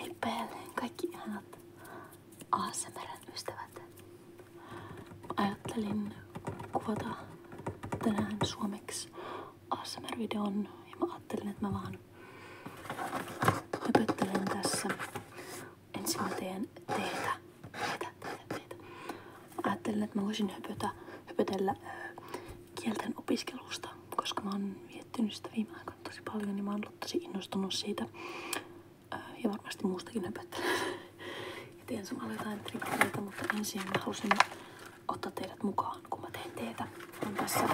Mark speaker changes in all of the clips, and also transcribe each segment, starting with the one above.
Speaker 1: Hei päälleen kaikki ihanat ASMRn ystävät. Ajattelin tänään suomeksi ASMR-videon ja mä ajattelin, että tässä. Ensin mä teen teitä. Teitä, teitä, teitä. Mä ajattelin, että mä voisin höpötä, höpötellä kielten opiskelusta koska mä oon miettinyt sitä viime aikoina tosi paljon, niin mä oon ollut tosi innostunut siitä. Äh, ja varmasti muustakin höpöttelen. Ja teen samalla jotain trikkereitä, mutta ensin mä halusin ottaa teidät mukaan, kun mä teen teetä. On tässä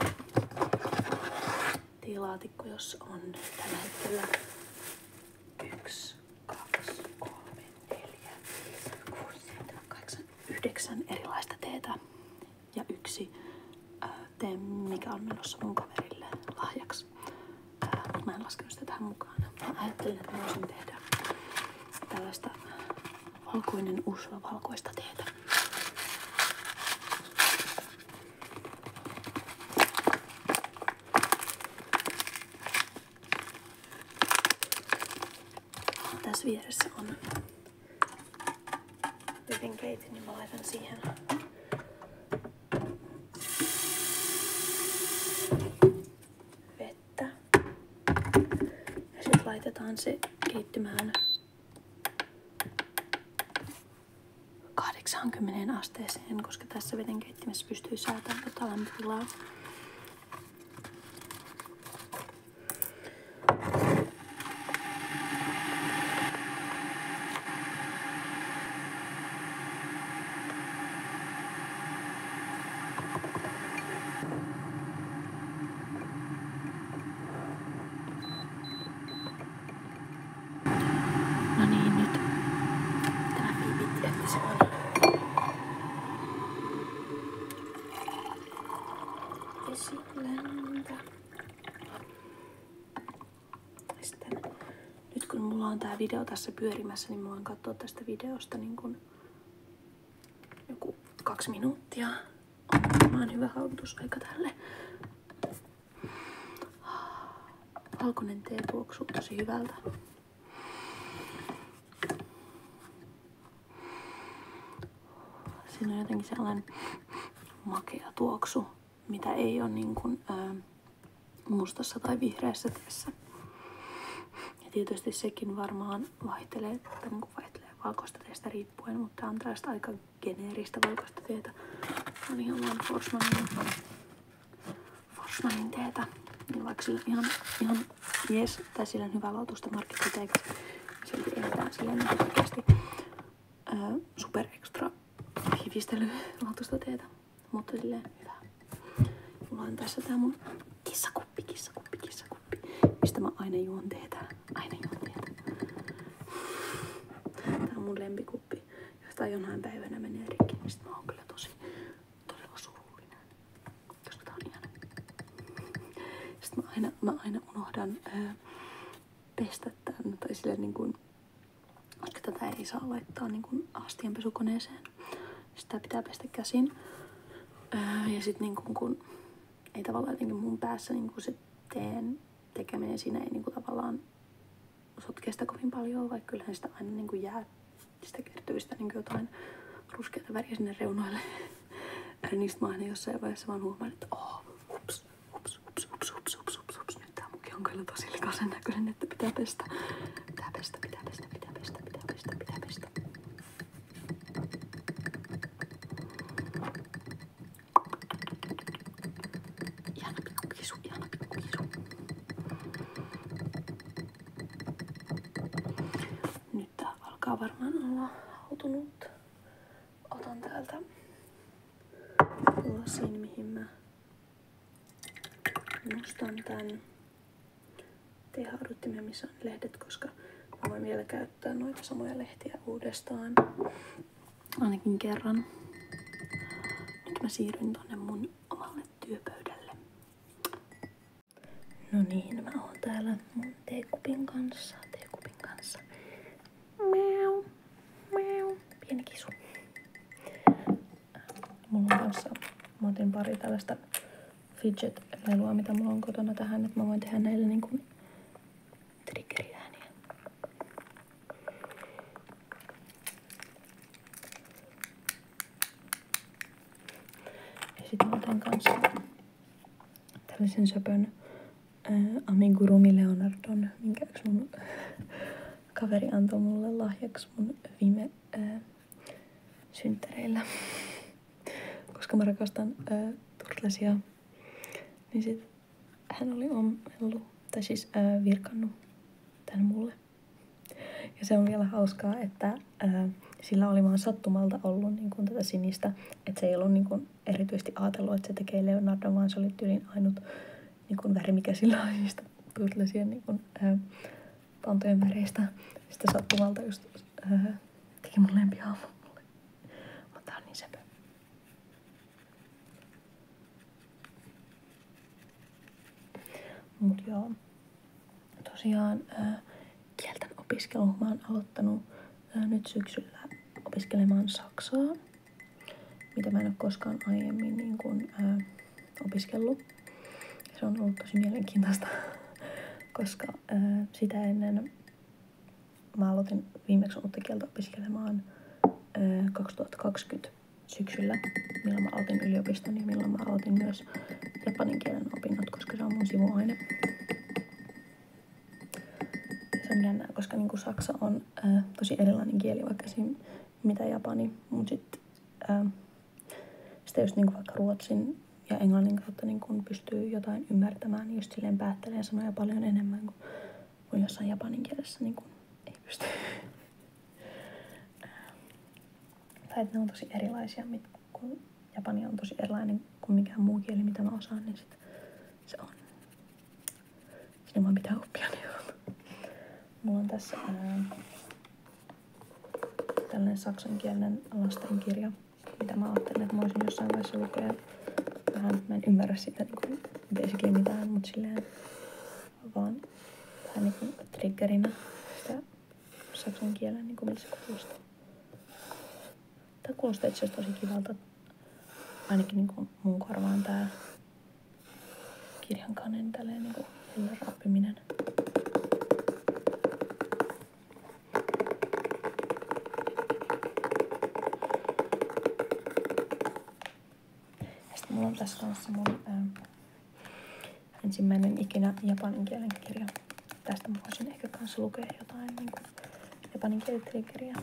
Speaker 1: teelaatikko, jossa on tällä hetkellä yksi, kaksi, kolme, neljä, kuusi, seitsemän, kahdeksan, yhdeksän erilaista teetä ja yksi ää, teen mikä on menossa mun kaverille lahjaksi. Ää, mä en laskenut sitä tähän mukaan. Mä ajattelin, että mä voisin tehdä tällaista valkoinen usva valkoista teetä. Tässä vieressä on Hyvin keitin, niin mä laitan siihen vettä. Ja sitten laitetaan se keittymään 80 asteeseen, koska tässä veden vedenkeittimessä pystyy säätämään tätä lämpötilaa. No niin, nyt tämä viivitti, että se on. Vesi sitten, nyt kun mulla on tää video tässä pyörimässä, niin mä voin katsoa tästä videosta niin kun joku kaksi minuuttia. Mä on hyvä haudutusaika tälle. Valkoinen tee tuoksuu tosi hyvältä. Siinä on jotenkin sellainen makea tuoksu, mitä ei ole niin kuin, ää, mustassa tai vihreässä teessä. Ja tietysti sekin varmaan vaihtelee, tai niin vaihtelee valkoista teestä riippuen, mutta on tällaista aika geneeristä valkoista teetä. On ihan vaan Forsmanin, Forsmanin teetä. Niin vaikka sillä ihan, ihan jees, tai sillä on hyvä lautusta markkiteeksi, silti eletään silleen niin oikeasti super extra hivistelylaatuista teetä, mutta silleen hyvää. Mulla on tässä tää mun kissakuppi, kissakuppi, kissakuppi, mistä mä aina juon teetä. Aina juon teetä. Tää on mun lempikuppi, josta jonain päivänä menee rikki, niin sit mä oon kyllä tosi, todella surullinen, koska tää on ihana. Sitten mä aina, mä aina unohdan ää, pestä tämän, tai sille niin kuin, koska tätä ei saa laittaa niin kuin astianpesukoneeseen. Sitä pitää pestä käsin. Öö, ja sitten niin kuin, kun ei tavallaan jotenkin mun päässä niin kuin se teen tekeminen siinä ei niin kuin tavallaan sotkea sitä kovin paljon, vaikka kyllähän sitä aina niin kuin jää, sitä kertyy sitä niin kuin jotain ruskeata väriä sinne reunoille. niin sit mä aina jossain vaiheessa vaan huomaan, että oh, ups, Ups, ups, ups, ups, ups, ups, ups. Nyt tää mukki on kyllä tosi likaisen näköinen, että pitää pestä. Pitää pestä, pitää pestä, pitää pestä, pitää pestä, pitää pestä. pikku kisu, ihana pikku kisu. Nyt tää alkaa varmaan olla otan täältä lasin, mihin mä nostan tän tehauduttimen, missä on lehdet, koska mä voin vielä käyttää noita samoja lehtiä uudestaan. Ainakin kerran. Nyt mä siirryn tonne mun omalle työpöydälle. No niin, mä oon täällä mun teekupin kanssa, teekupin kanssa. Miau, miau. Pieni kisu. Mulla on kanssa, mä otin pari tällaista fidget-lelua, mitä mulla on kotona tähän, että mä voin tehdä näille niin kuin triggeriääniä. Ja sitten mä otan kanssa tällaisen söpön ää, amigurumi Leonardon, minkä yksi mun kaveri antoi mulle lahjaksi mun viime syntereillä, Koska mä rakastan ää, turtlesia, niin sit hän oli ommellut, tai siis ää, virkannut tän mulle. Ja se on vielä hauskaa, että ää, sillä oli vaan sattumalta ollut niin kun tätä sinistä, että se ei ollut niin kun erityisesti ajatellut, että se tekee Leonardo, vaan se oli tyylin ainut niin kuin väri, mikä sillä on niistä turtlesien niin kuin, ää, äh, pantojen väreistä. Sitten sattumalta just ää, äh, teki mun lempihahmo mulle. Mutta tää on niin sepä. Mut joo, tosiaan ää, äh, kielten opiskelun mä oon aloittanut ää, nyt syksyllä opiskelemaan Saksaa, mitä mä en ole koskaan aiemmin niin kun, ää, opiskellut. Se on ollut tosi mielenkiintoista, koska ää, sitä ennen mä aloitin viimeksi uutta kieltä opiskelemaan ää, 2020 syksyllä, milloin mä aloitin yliopiston ja milloin mä aloitin myös japanin kielen opinnot, koska se on mun sivuaine. Se on jännää, koska niinku saksa on ää, äh, tosi erilainen kieli, vaikka siinä mitä japani, mutta sitten äh, sitä just niinku vaikka ruotsin ja englannin kautta niin kun pystyy jotain ymmärtämään, niin just silleen päättelee sanoja paljon enemmän kuin, kuin jossain japanin kielessä niin kun ei pysty. Äh, tai että ne on tosi erilaisia, mit, kun japani on tosi erilainen kuin mikään muu kieli, mitä mä osaan, niin sit se on Ilman pitää oppia neuvoa. Niin Mulla on tässä ää, tällainen saksankielinen lastenkirja, mitä mä ajattelin, että mä olisin jossain vaiheessa lukea. Vähän mä en ymmärrä sitä niin kuin basically mitään, mutta silleen vaan vähän niin kuin triggerinä sitä saksan kielen, niin kuin miltä se kuulostaa. Tämä kuulostaa itse asiassa tosi kivalta ainakin niin kuin mun korvaan tää kirjan kannen tälleen niin kuin rappiminen. Ja sitten mulla on tässä kanssa mun ää, ensimmäinen ikinä japanin kielen kirja. Tästä mä voisin ehkä kanssa lukea jotain niin japanin kielitrikkeriä.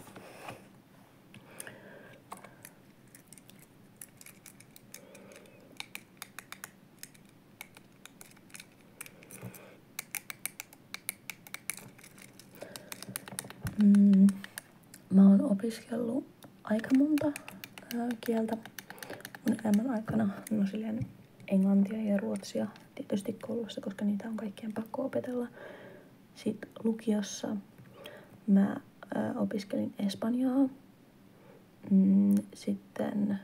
Speaker 1: Mm. mä oon opiskellut aika monta ää, kieltä mun elämän aikana. No silleen englantia ja ruotsia tietysti koulussa, koska niitä on kaikkien pakko opetella. Sitten lukiossa mä ö, opiskelin Espanjaa, mm, sitten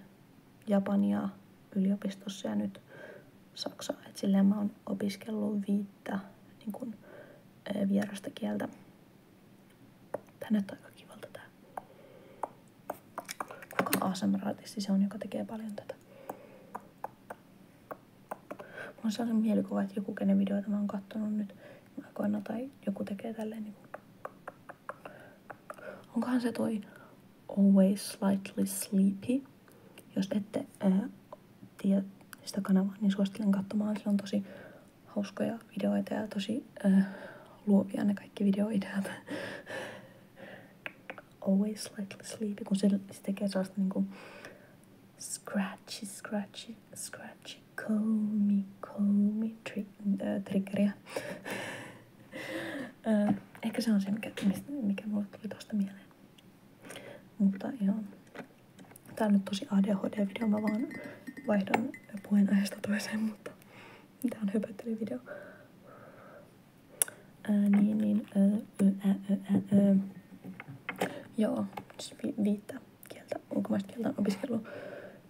Speaker 1: Japania yliopistossa ja nyt Saksaa. Et silleen mä oon opiskellut viittä niin kun, ö, vierasta kieltä. Tää näyttää aika kivalta tää. Kuka asmr se on, joka tekee paljon tätä? Mulla on sellainen mielikuva, että joku kenen videoita mä oon kattonut nyt aikoina tai joku tekee tälleen niin kuin... Onkohan se toi Always Slightly Sleepy? Jos ette ää, tiedä sitä kanavaa, niin suosittelen katsomaan. Sillä on tosi hauskoja videoita ja tosi äh, luovia ne kaikki videoideat. Always slightly sleepy, kun se, se tekee sellaista niinku Scratchy, scratchy, scratchy, comb, comb, tri äh, triggeriä. äh, ehkä se on se, mikä, mistä, mikä mulle tuli tosta mieleen. Mutta joo. Tää on nyt tosi ADHD-video, mä vaan vaihdan puheenaiheesta toiseen, mutta tää on video. Äh, niin, niin, äh, äh, äh. öö. Joo, siis vi- viittä kieltä, ulkomaista kieltä on opiskellut.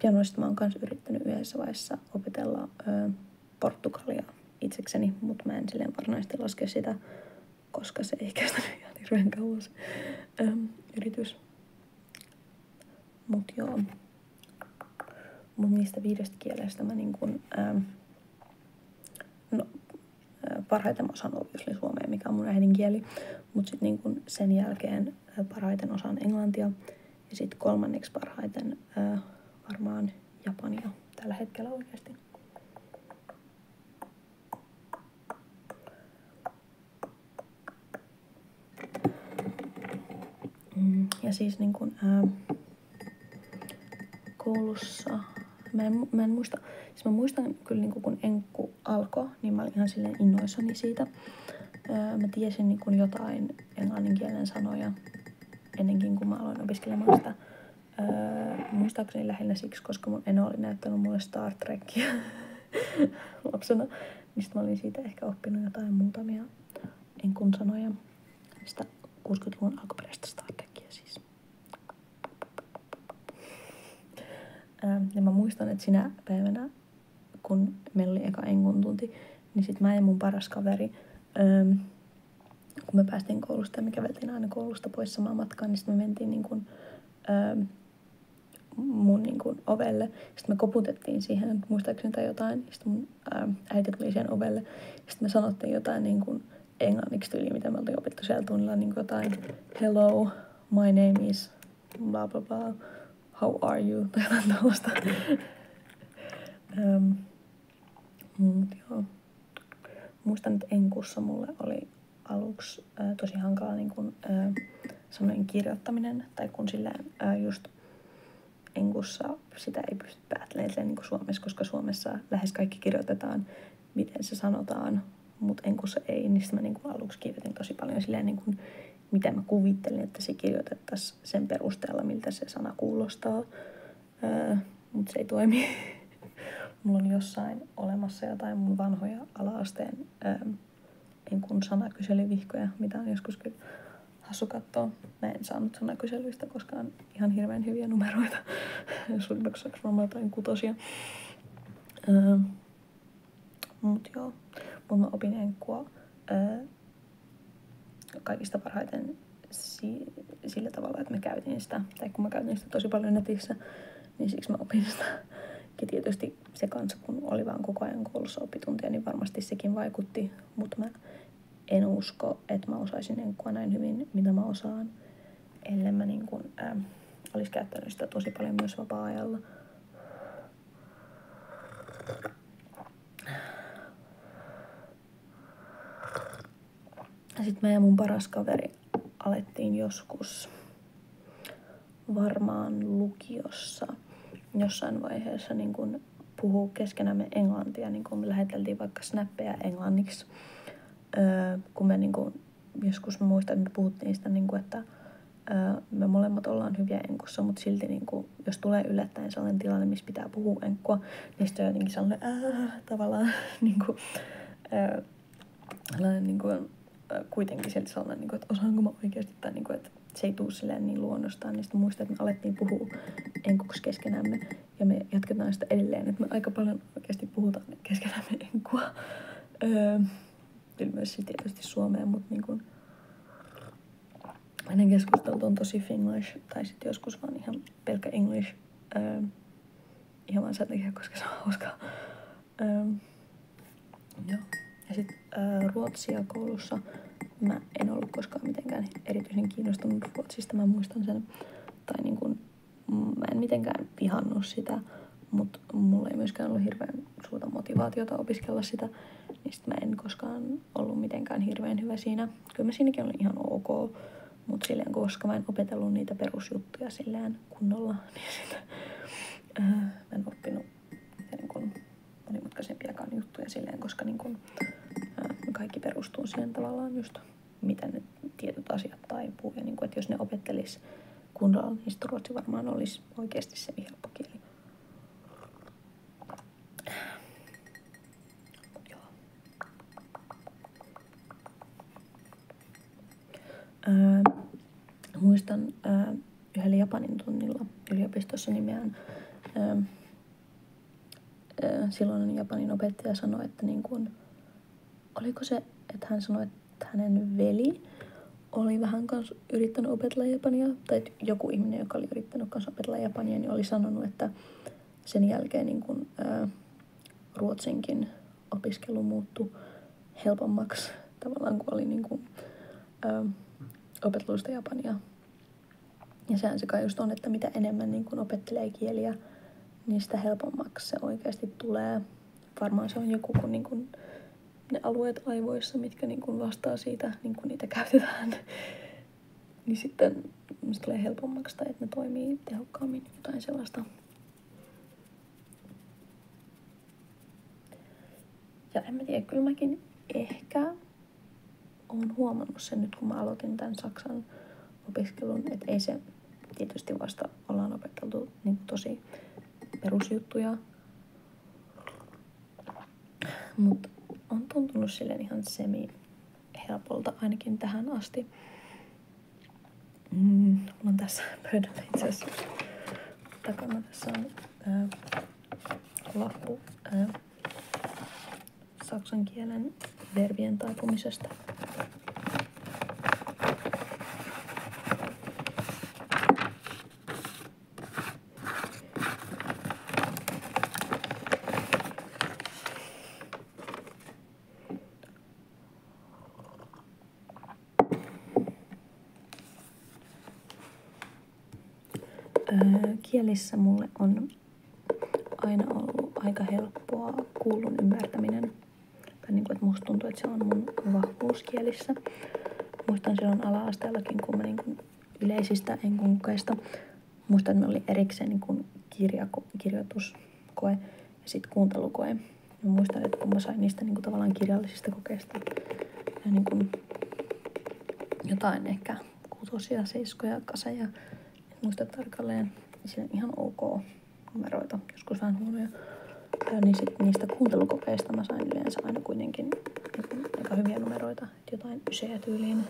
Speaker 1: Pianoista mä oon kanssa yrittänyt yhdessä vaiheessa opetella ö, portugalia itsekseni, mutta mä en silleen varsinaisesti laske sitä, koska se ei kestänyt ihan hirveän kauan se ö, yritys. Mut joo, mun niistä viidestä kielestä mä niinkun ö, no, parhaiten osaan obviously suomea, mikä on mun äidinkieli, mut sit niin kun sen jälkeen parhaiten osan englantia ja sitten kolmanneksi parhaiten ää, varmaan japania tällä hetkellä oikeasti. Mm, ja siis niin kun, ää, koulussa, mä en, mä en muista, siis mä muistan kyllä niin kun en niinku alkoi, niin mä olin ihan silleen innoissani siitä. Öö, mä tiesin niinku jotain englanninkielen sanoja ennenkin, kuin mä aloin opiskelemaan sitä. Öö, muistaakseni lähinnä siksi, koska mun eno oli näyttänyt mulle Star Trekia lapsena. Mistä mä olin siitä ehkä oppinut jotain muutamia enkun sanoja. Sitä 60-luvun alkuperäistä Star Trekia siis. Ähm, ja mä muistan, että sinä päivänä, kun meillä oli eka enkun tunti, niin sit mä ja mun paras kaveri, ähm, kun me päästiin koulusta ja me käveltiin aina koulusta pois samaan matkaan, niin sitten me mentiin niin kun, ähm, mun niin kun, ovelle. Sitten me koputettiin siihen, muistaakseni tai jotain. Sitten mun ää, äiti tuli siihen ovelle. Sitten me sanottiin jotain niin kun, englanniksi tyyliin, mitä me oltiin opittu siellä tunnilla, niin jotain hello, my name is blah blah blah. how are you, tai jotain tällaista. ähm, Muistan, että Enkussa mulle oli aluksi äh, tosi hankala niin kun, äh, semmoinen kirjoittaminen, tai kun sillä äh, just Enkussa sitä ei pysty päättelemään niin Suomessa, koska Suomessa lähes kaikki kirjoitetaan miten se sanotaan, mutta en kun se ei, niin mä niin kuin aluksi kirjoitin tosi paljon silleen, niin kuin, mitä mä kuvittelin, että se kirjoitettaisiin sen perusteella, miltä se sana kuulostaa, öö, mutta se ei toimi. Mulla on jossain olemassa jotain mun vanhoja ala-asteen öö, en niin sanakyselyvihkoja, mitä on joskus kyllä hassu katsoa. Mä en saanut sanakyselyistä koskaan ihan hirveän hyviä numeroita. Suurimmaksi mä jotain kutosia. Öö, Mut joo, mut mä opin enkkua öö, kaikista parhaiten si- sillä tavalla, että mä käytin sitä, tai kun mä käytin sitä tosi paljon netissä, niin siksi mä opin sitä. Ja tietysti se kanssa, kun oli vaan koko ajan koulussa oppituntia, niin varmasti sekin vaikutti, mutta mä en usko, että mä osaisin enkkua näin hyvin, mitä mä osaan ellen mä niin kun, ää, ähm, olisi käyttänyt sitä tosi paljon myös vapaa-ajalla. Sitten mä ja mun paras kaveri alettiin joskus varmaan lukiossa jossain vaiheessa niin kun puhuu keskenämme englantia, niin kun me läheteltiin vaikka snappeja englanniksi, öö, kun me niin kun joskus muistan, että puhuttiin sitä, niin kuin, että ää, me molemmat ollaan hyviä enkussa, mutta silti niin kuin, jos tulee yllättäen sellainen tilanne, missä pitää puhua enkkua, niin sitten on jotenkin sellainen ää, tavallaan niin kuin, ää, sellainen, niin kuin, kuitenkin sieltä sellainen, niin kuin, että osaanko mä oikeasti, tai niin kuin, että se ei tuu silleen niin luonnostaan, niin sitten muistan, että me alettiin puhua enkuksi keskenämme, ja me jatketaan sitä edelleen, että me aika paljon oikeasti puhutaan keskenämme enkua. Öö, kyllä myös tietysti Suomeen, mutta niin kuin, hänen keskustelut on tosi Finglish, tai sitten joskus vaan ihan pelkkä English. Öö, ihan vaan sen takia, koska se on hauskaa. Öö, ähm, joo. Ja sitten öö, äh, ruotsia koulussa mä en ollut koskaan mitenkään erityisen kiinnostunut ruotsista, mä muistan sen. Tai niin kun, mä en mitenkään vihannut sitä, mut mutta mulla ei myöskään ollut hirveän suurta motivaatiota opiskella sitä, niin sit mä en koskaan ollut mitenkään hirveän hyvä siinä. Kyllä mä siinäkin olin ihan ok, mutta silleen koska mä en opetellut niitä perusjuttuja silleen kunnolla, niin sitä äh, mä en oppinut niin kun, monimutkaisempiakaan juttuja silleen, koska niin kun, äh, kaikki perustuu siihen tavallaan just mitä ne tietyt asiat taipuu. Ja niin kun, että jos ne opettelis kunnolla, niin ruotsi varmaan olisi oikeasti se helppo kieli. Joo. Öö, muistan ää, öö, yhdellä Japanin tunnilla yliopistossa nimeään. Ää, öö, silloin Japanin opettaja sanoi, että niin kuin, oliko se, että hän sanoi, hänen veli oli vähän kans yrittänyt opetella japania, tai joku ihminen, joka oli yrittänyt kanssa opetella japania, niin oli sanonut, että sen jälkeen niin kun, ää, ruotsinkin opiskelu muuttui helpommaksi tavallaan, kun oli niin kun, ää, opeteluista japania. Ja sehän se kai just on, että mitä enemmän niin kun opettelee kieliä, niin sitä helpommaksi se oikeasti tulee varmaan se on joku, kun niin kuin ne alueet aivoissa, mitkä niin kuin vastaa siitä, niin kuin niitä käytetään, niin sitten se tulee helpommaksi tai että ne toimii tehokkaammin, jotain sellaista. Ja en mä tiedä, kyllä mäkin ehkä olen huomannut sen nyt, kun mä aloitin tämän Saksan opiskelun, että ei se tietysti vasta ollaan opeteltu ollut niin tosi perusjuttuja. Mutta on tuntunut silleen ihan semi helpolta ainakin tähän asti. Mm, mulla on tässä pöydällä itse asiassa takana tässä on ää, lappu ää, saksan kielen verbien taipumisesta kielissä mulle on aina ollut aika helppoa kuullun ymmärtäminen. Tai niin kuin, että musta tuntuu, että se on mun vahvuus kielissä. Muistan silloin ala-asteellakin, kun mä niin kuin yleisistä enkunkukeista muistan, että meillä oli erikseen niin kuin kirjako, kirjoituskoe ja sitten kuuntelukoe. Ja muistan, että kun mä sain niistä niin kuin tavallaan kirjallisista kokeista ja niin kuin jotain ehkä kutosia, seiskoja, kaseja, en tarkalleen, siinä ihan ok numeroita, joskus vähän huonoja. Ja niin sit niistä kuuntelukokeista mä sain yleensä aina kuitenkin aika hyviä numeroita, jotain ysejä tyyliin.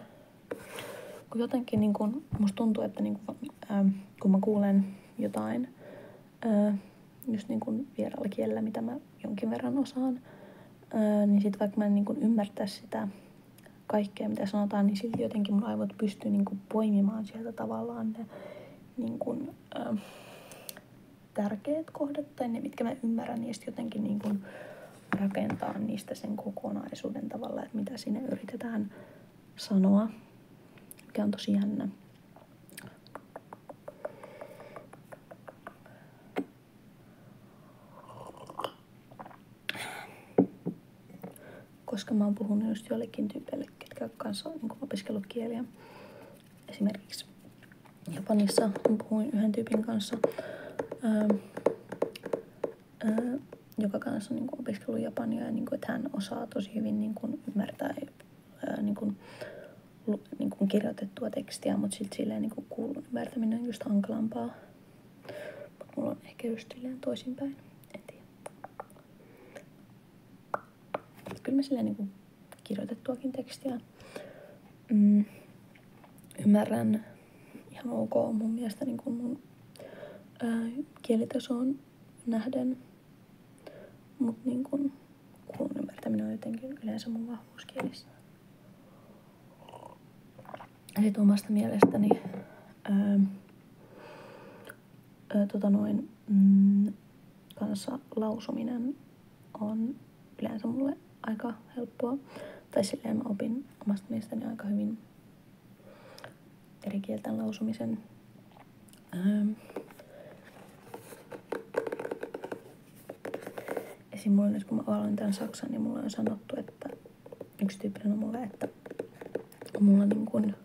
Speaker 1: Kun jotenkin niin kun, musta tuntuu, että niin kun, äh, kun mä kuulen jotain äh, just niin kun vieraalla kielellä, mitä mä jonkin verran osaan, äh, niin sit vaikka mä en niin kun ymmärtäisi sitä kaikkea, mitä sanotaan, niin silti jotenkin mun aivot pystyy niin kun, poimimaan sieltä tavallaan ne niin kun, äh, tärkeät kohdat tai ne, mitkä mä ymmärrän, niin jotenkin niin kuin rakentaa niistä sen kokonaisuuden tavalla, että mitä sinne yritetään sanoa, mikä on tosi jännä. koska mä oon puhunut just joillekin tyypeille, ketkä on kanssa niin opiskellut kieliä, esimerkiksi Japanissa puhuin yhden tyypin kanssa, ää, ähm, ää, äh, joka kanssa on niin kuin opiskellut Japania ja niin kuin, että hän osaa tosi hyvin niin kuin, ymmärtää ää, äh, niin kuin, lu, niin kuin kirjoitettua tekstiä, mutta sitten silleen niin kuin kuulun ymmärtäminen on just hankalampaa. Mut mulla on ehkä just silleen toisinpäin, kyllä mä silleen niin kuin kirjoitettuakin tekstiä mm, ymmärrän ihan ok mun mielestä niin kuin mun ää, kielitasoon nähden. Mutta niin kuin kuulun ymmärtäminen on jotenkin yleensä mun vahvuus kielissä. Eli sit omasta mielestäni ää, ää, tota noin, mm, kanssa lausuminen on yleensä mulle aika helppoa. Tai silleen mä opin omasta mielestäni aika hyvin eri kielten lausumisen. Ähm. Esim. mulla nyt kun mä aloin tämän saksan, niin mulla on sanottu, että yksi tyyppinen on mulle, että mulla niin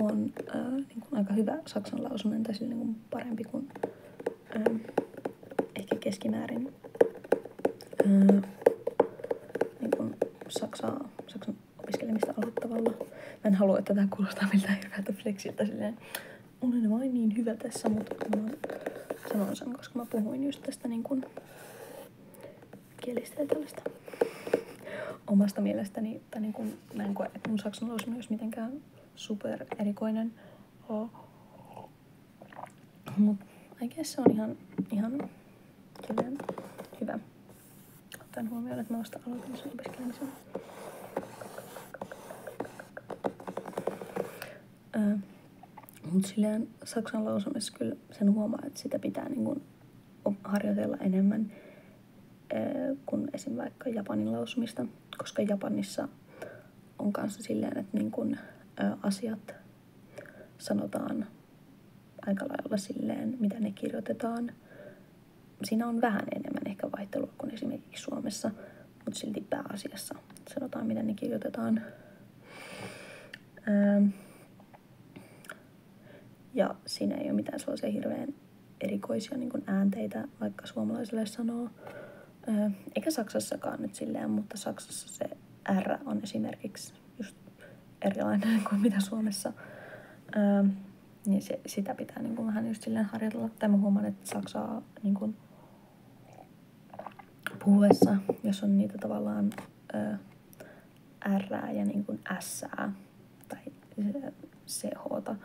Speaker 1: on äh, oli niin kuin aika hyvä saksan lausunen tai niin kuin parempi kuin ähm, ehkä keskimäärin äh, niin kuin saksaa, saksan opiskelemista aloittavalla. Mä en halua, että tämä kuulostaa miltään hyvältä flexiltä silleen. Olen vain niin hyvä tässä, mutta mä sanon sen, koska mä puhuin just tästä niin kuin kielistä ja tällaista omasta mielestäni että niin kuin, mä en koe, että mun saksan olisi myös mitenkään super erikoinen. Oh. Mutta I guess se on ihan, ihan silleen hyvä. Ottaen huomioon, että mä vasta aloitin sen opiskelemisen. Öö, Mutta silleen saksan lausumissa kyllä sen huomaa, että sitä pitää niin kun, harjoitella enemmän kuin esim. vaikka Japanin lausumista, koska Japanissa on kanssa silleen, että niin kun, asiat sanotaan aika lailla silleen, mitä ne kirjoitetaan. Siinä on vähän enemmän ehkä vaihtelua kuin esimerkiksi Suomessa, mutta silti pääasiassa sanotaan, mitä ne kirjoitetaan. Ja siinä ei ole mitään sellaisia hirveän erikoisia niin kuin äänteitä, vaikka suomalaisille sanoo. Öö, eikä Saksassakaan nyt silleen, mutta Saksassa se R on esimerkiksi just erilainen kuin mitä Suomessa. Öö, niin se, sitä pitää niin kuin vähän just silleen harjoitella. Tai mä huomaan, että Saksaa niin kuin puhuessa, jos on niitä tavallaan öö, R ja niin kuin S tai CH,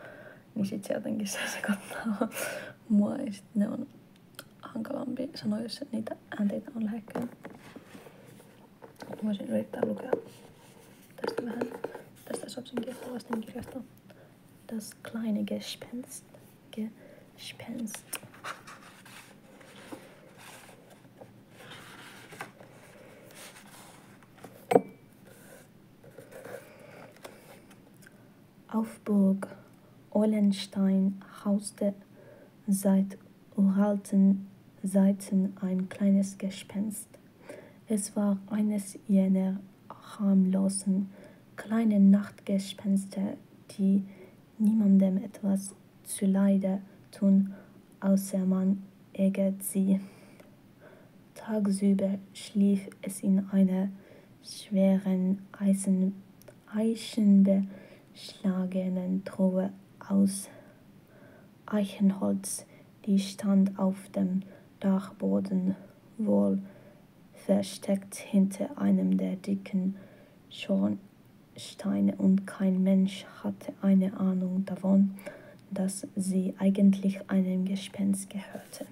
Speaker 1: niin sit se jotenkin se sekoittaa mua ja sit ne on hankalampi sanoa, jos niitä äänteitä on lähekkäin. Voisin yrittää lukea tästä vähän, tästä Sopsin kieltä kirjasta. Das kleine Gespenst. Gespenst. Auf Burg Eulenstein hauste seit uralten Zeiten ein kleines Gespenst. Es war eines jener harmlosen kleinen Nachtgespenster, die niemandem etwas zuleide tun, außer man ärgert sie. Tagsüber schlief es in einer schweren Eisen, eichenbeschlagenen Truhe aus Eichenholz, die stand auf dem Dachboden wohl versteckt hinter einem der dicken Schornsteine und kein Mensch hatte eine Ahnung davon, dass sie eigentlich einem Gespenst gehörte.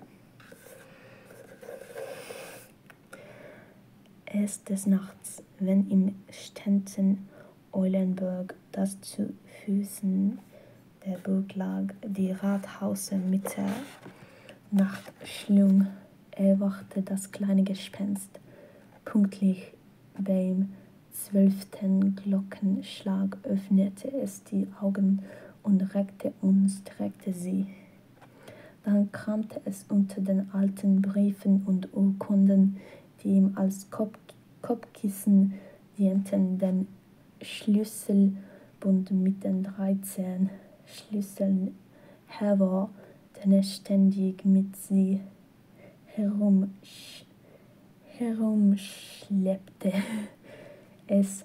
Speaker 1: Es des Nachts, wenn im Ständchen Eulenburg das zu Füßen der Burg lag, die Rathause mit der Nacht schlug, erwachte das kleine Gespenst pünktlich beim zwölften Glockenschlag öffnete es die Augen und reckte und streckte sie. Dann kramte es unter den alten Briefen und Urkunden, die ihm als Kopf Kopfkissen dienten, den Schlüsselbund mit den 13 Schlüsseln hervor, den er ständig mit sie herumsch herumschleppte. Es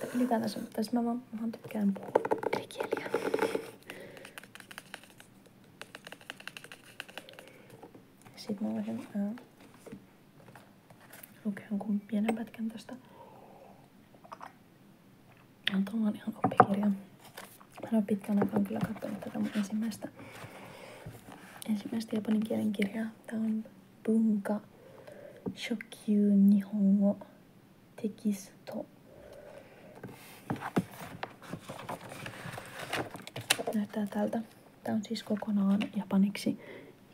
Speaker 1: Tai ylipäätänsä, tai siis mä vaan, mä vaan tykkään puhua eri kieliä. Sitten mä voisin ää, lukea jonkun pienen pätkän tästä. Ja tämä on ihan oppikirja. Mä en ole pitkän aikaa kyllä katsonut tätä mun ensimmäistä, ensimmäistä japanin kielen kirjaa. Tää on Näyttää tältä. Tämä on siis kokonaan japaniksi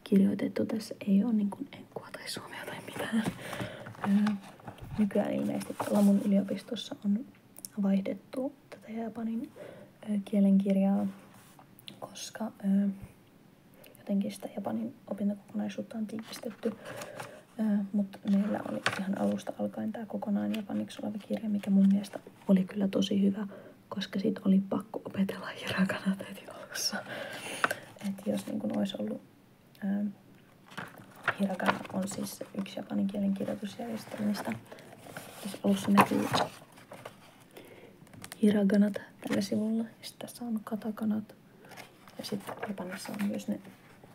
Speaker 1: kirjoitettu. Tässä ei ole niin kuin enkua tai suomea tai mitään. Nykyään ilmeisesti Lamun yliopistossa on vaihdettu tätä japanin kielen koska jotenkin sitä Japanin opintokokonaisuutta on tiivistetty. Mutta meillä oli ihan alusta alkaen tämä kokonaan japaniksi oleva kirja, mikä mun mielestä oli kyllä tosi hyvä, koska siitä oli pakko opetella hirakanan heti alussa. Et jos niin kun olisi ollut ää, hiragana on siis yksi japanin kielen kirjoitusjärjestelmistä. Tässä alussa näkyy hiraganat tällä sivulla. Sitten tässä on katakanat. Ja sitten Japanissa on myös ne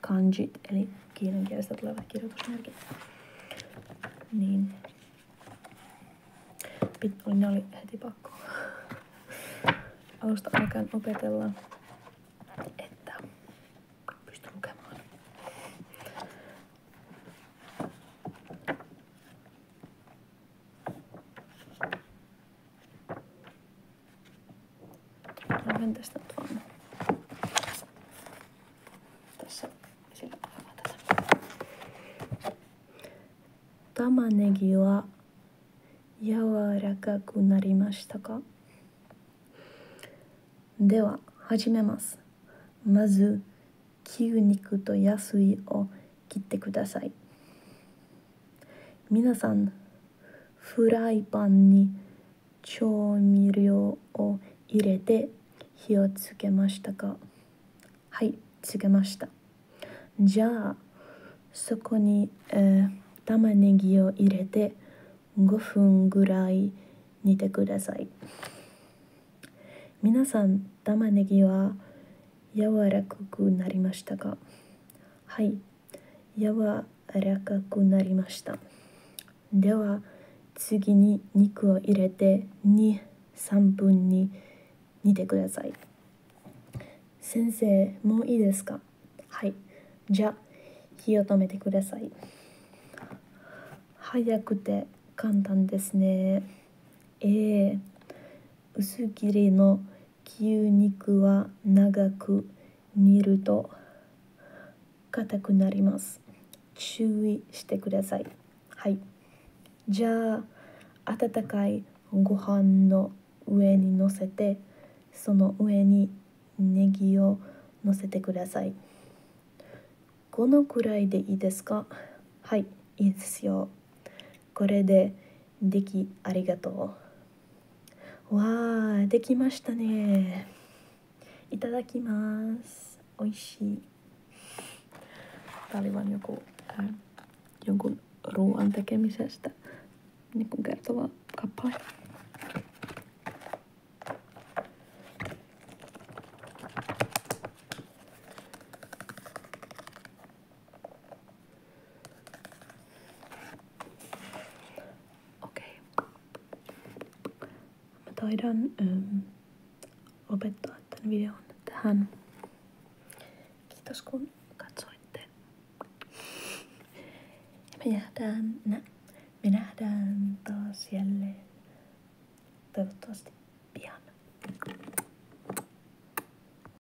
Speaker 1: kanjit, eli kiinan kielestä tulevat kirjoitusmerkit. Niin. Pit, oli, ne oli heti pakko alusta alkaen opetella, että pysty Vänta sitä tuonne. Tässä sillä Tämä negi wa 柔らかくなりましたかでは始めますまず牛肉と野菜を切ってください皆さんフライパンに調味料を入れて火をつけましたかはいつけましたじゃあそこに、えー、玉ねぎを入れて5分ぐらい煮てください皆さん玉ねぎは柔らかくなりましたかはい柔らかくなりましたでは次に肉を入れて23分に煮てください先生もういいですかはいじゃあ火を止めてください早くて簡単ですねええ、薄切りの牛肉は長く煮ると硬くなります注意してくださいはいじゃあ温かいご飯の上にのせてその上にネギをのせてくださいこのくらいでいいですかはいいいですよこれでできありがとうわあできましたねいただきます美味しい Täällä vaan joku äh, jonkun ruoan tekemisestä niin kuin kertova kappale. Okei. Mä taidan ähm, lopettaa tämän videon tähän. Kiitos kun katsoitte. Ja me nähdään, nä, me nähdään taas jälleen toivottavasti pian.